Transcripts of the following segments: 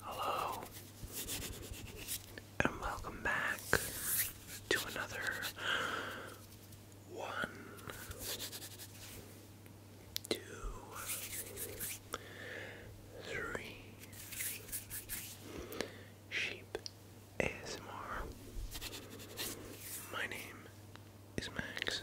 Hello, and welcome back to another one, two, three sheep ASMR. My name is Max,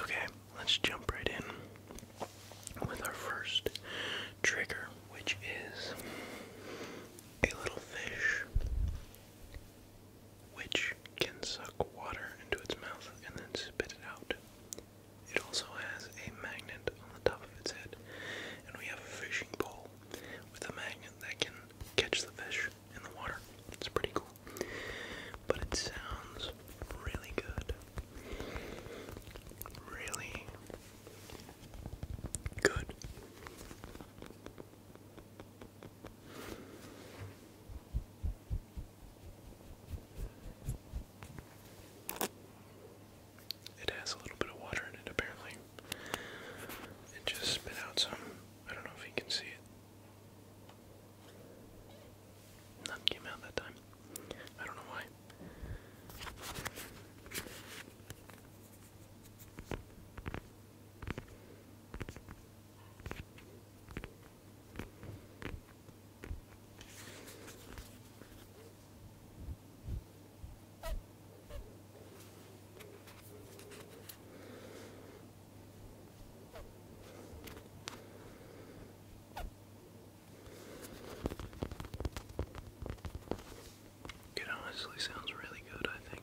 Okay, let's jump right in with our first trigger, which is a little fish which can suck water into its mouth and then spit it out. It also has a magnet on the top of its head, and we have a fishing pole with a magnet that can catch the fish in the water. It's pretty cool. But it sounds really good. Really good. It has a little bit of water in it, apparently. It just spit out some. I don't know if you can see it. None came out that time. I don't know why. It honestly sounds really good, I think.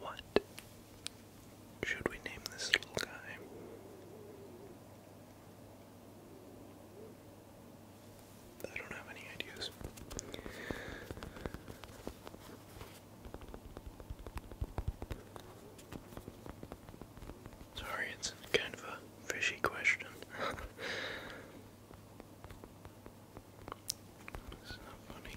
What should we name this little guy? I don't have any ideas. Sorry, it's kind of a fishy question. it's not funny.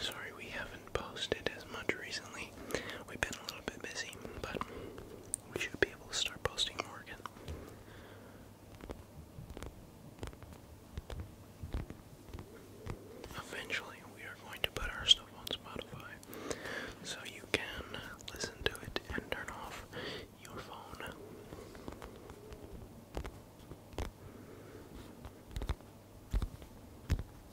Sorry we haven't posted as much recently. We've been a little bit busy, but we should be able to start posting more again. Eventually, we are going to put our stuff on Spotify so you can listen to it and turn off your phone.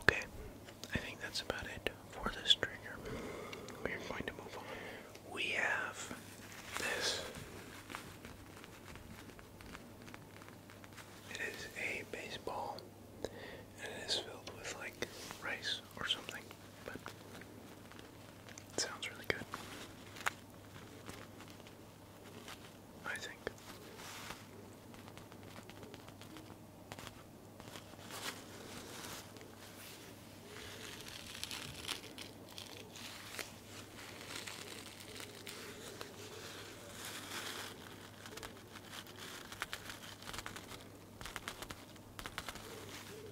Okay, I think that's about it for this trigger. We are going to move on. We have this. It is a baseball, and it is filled with like rice or something, but sounds really good. I think.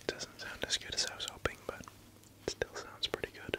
It doesn't sound as good as I was hoping, but it still sounds pretty good.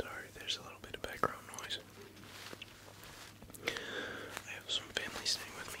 Sorry, there's a little bit of background noise. I have some family staying with me.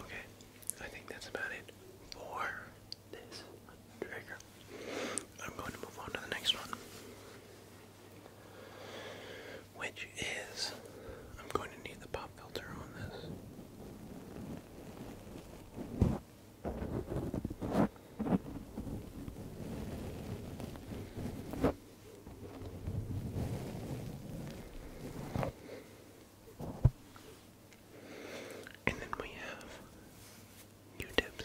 Okay, I think that's about it for this trigger. I'm going to move on to the next one. Which is, I'm going to need the pop filter on this. And then we have Q-tips.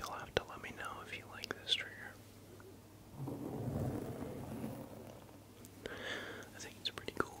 You'll have to let me know if you like this trigger. I think it's pretty cool.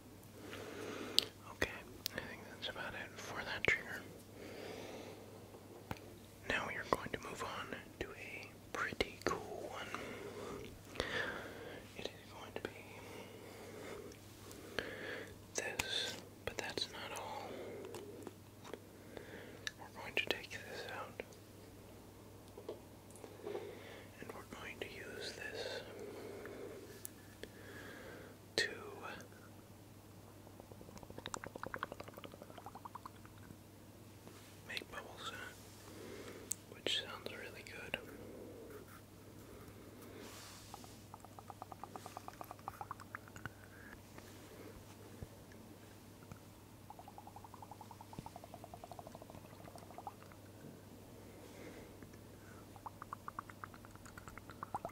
Okay, I think that's about it for that trigger. Now we are going to move on to a pretty cool one. It is going to be this, but that's not all. We're going to take this out. And we're going to use this two, make bubbles which sounds really good.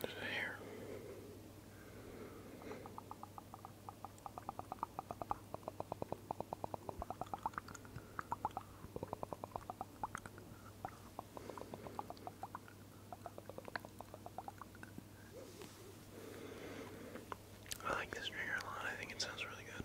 There's I like this trigger a lot. I think it sounds really good.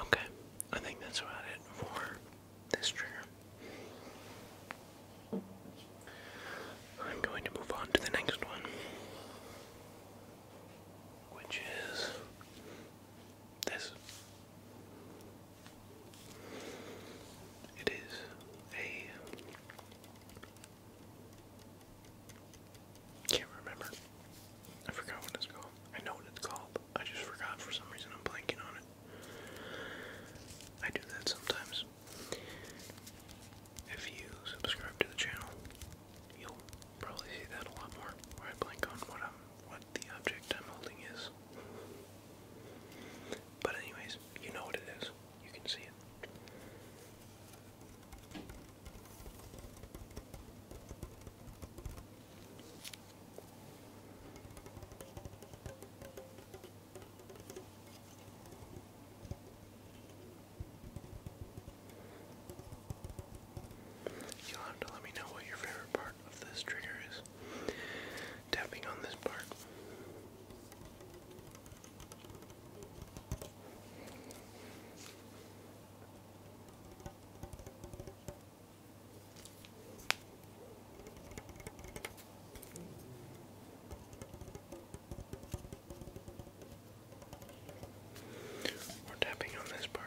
Okay, I think that's about it for this trigger. I'm going to move on to the next one, which is this. It is a can't remember. I forgot what it's called. I know what it's called. I just forgot for some reason. I'm blanking on it. I do that sometimes. If you subscribe to the channel, you'll probably see that a lot more. Where I blank on what I'm, what the object I'm holding is. But anyways, you know what it is. You can see it. you let me know what your favorite part of this trigger is tapping on this part. We're tapping on this part.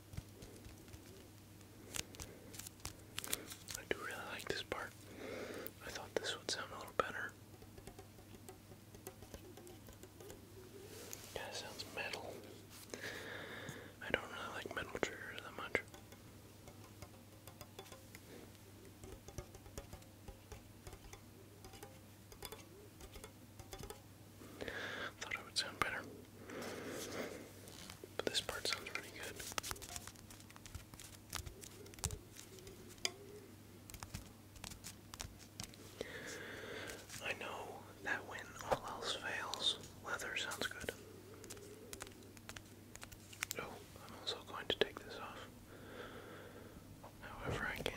I do really like this part. I thought this would sound a little better. kind sounds metal. I don't really like metal triggers that much. Thought it would sound better. But this part sounds really good. I know that when all else fails, leather sounds good. Oh, I'm also going to take this off however I can.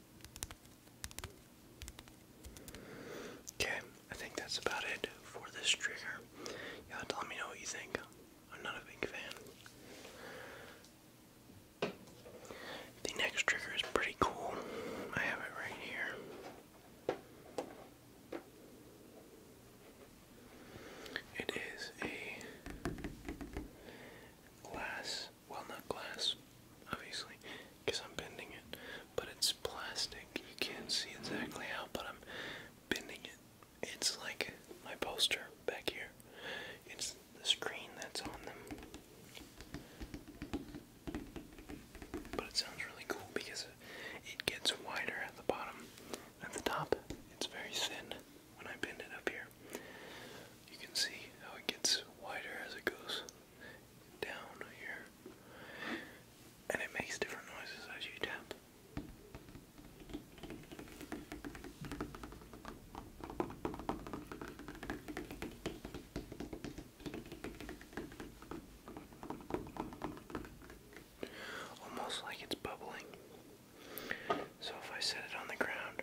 Okay, I think that's about it for this trigger. you let me know what you think. I'm not a big fan. The next trigger is pretty cool. I have it right here. It is a glass well not glass, obviously, because I'm bending it, but it's plastic. You can't see exactly how, but I'm bending it. It's like my poster back here. It's the screen that's on them. But it sounds really cool because it, gets wider at the bottom. At the top, it's very thin when I bend it up here. You can see how it gets wider as it goes down here, and it makes different noises as you tap. Almost like it's bubbling. So if I set it on the ground,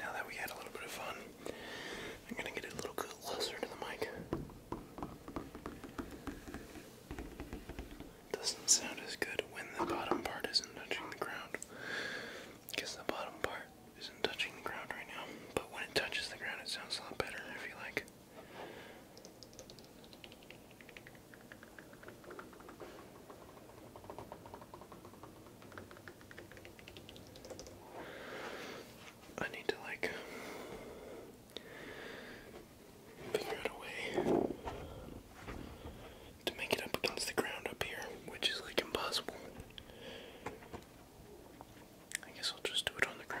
Now that we had a little bit of fun, I'm going to get a little closer to the mic doesn't sound as good when the bottom part isn't touching the ground. Because the bottom part isn't touching the ground right now. But when it touches the ground, it sounds a lot better, I feel like. I need to like figure out a way to make it up against the ground up here, which is like impossible. I guess I'll just do it on the ground.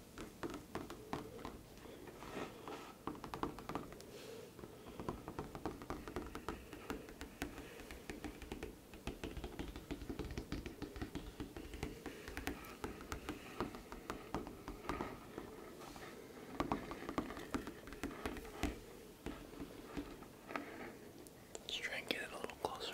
Let's try and get it a little closer.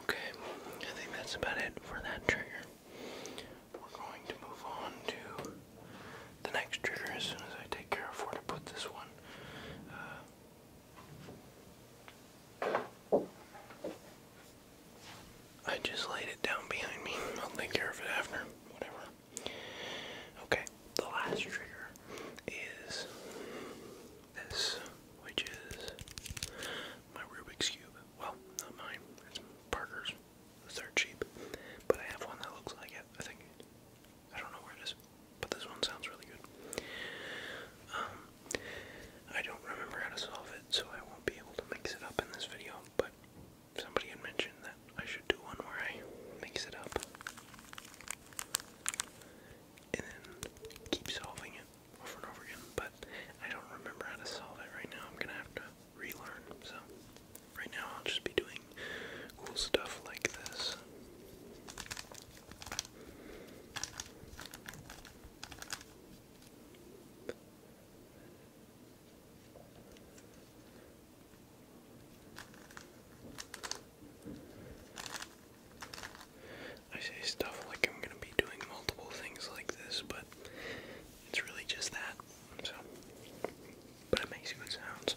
Okay, I think that's about it for that trigger. We're going to move on to the next trigger as soon as I take care of where to put this one. Uh, I just laid it down behind me. I'll take care of it after. Whatever. Okay, the last trigger is this, which is my Rubik's Cube. Well, not mine, it's Parker's third sheep, but I have one that looks like it, I think. I don't know where it is, but this one sounds really good. Um, I don't remember how to solve it, so I won't be able to mix it up in this video, but somebody had mentioned that I should do one where I mix it up and then keep solving it over and over again, but I don't remember how to solve it right now. I'm gonna have to relearn. So, right now I'll just be doing cool stuff like this. I say stuff like I'm going to be doing multiple things like this, but it's really just that. So, but it makes good sounds.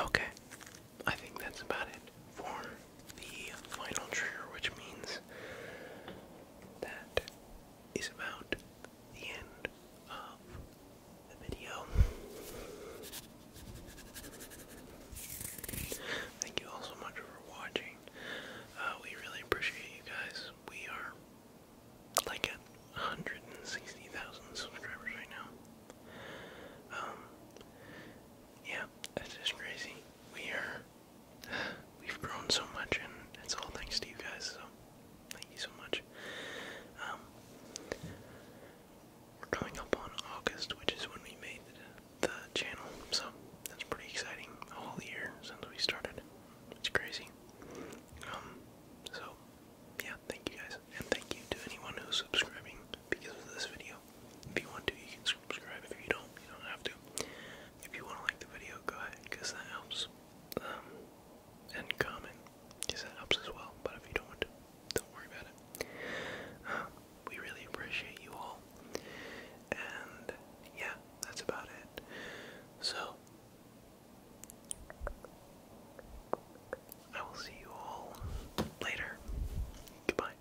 Okay, I think that's about it for the final trigger, which means that is about the end of the video. Thank you all so much for watching. Uh, we really appreciate you guys. We are like 160,000 subscribers right now. Um, yeah, that's just crazy. We are We've grown so much, and it's all thanks to you guys. So thank you so much. Um, we're coming up on August, which is when we made the, channel. So that's pretty exciting. A whole year since we started. It's crazy. Um, so yeah, thank you guys, and thank you to anyone who's subscribing because of this video. If you want to, you can subscribe. If you don't, you don't have to. If you want to like the video, go ahead, that helps. Um, and comment, that helps as well. But if you don't don't worry about it. Um, we really appreciate you all. And yeah, that's about it. So, I will see you all later. Goodbye.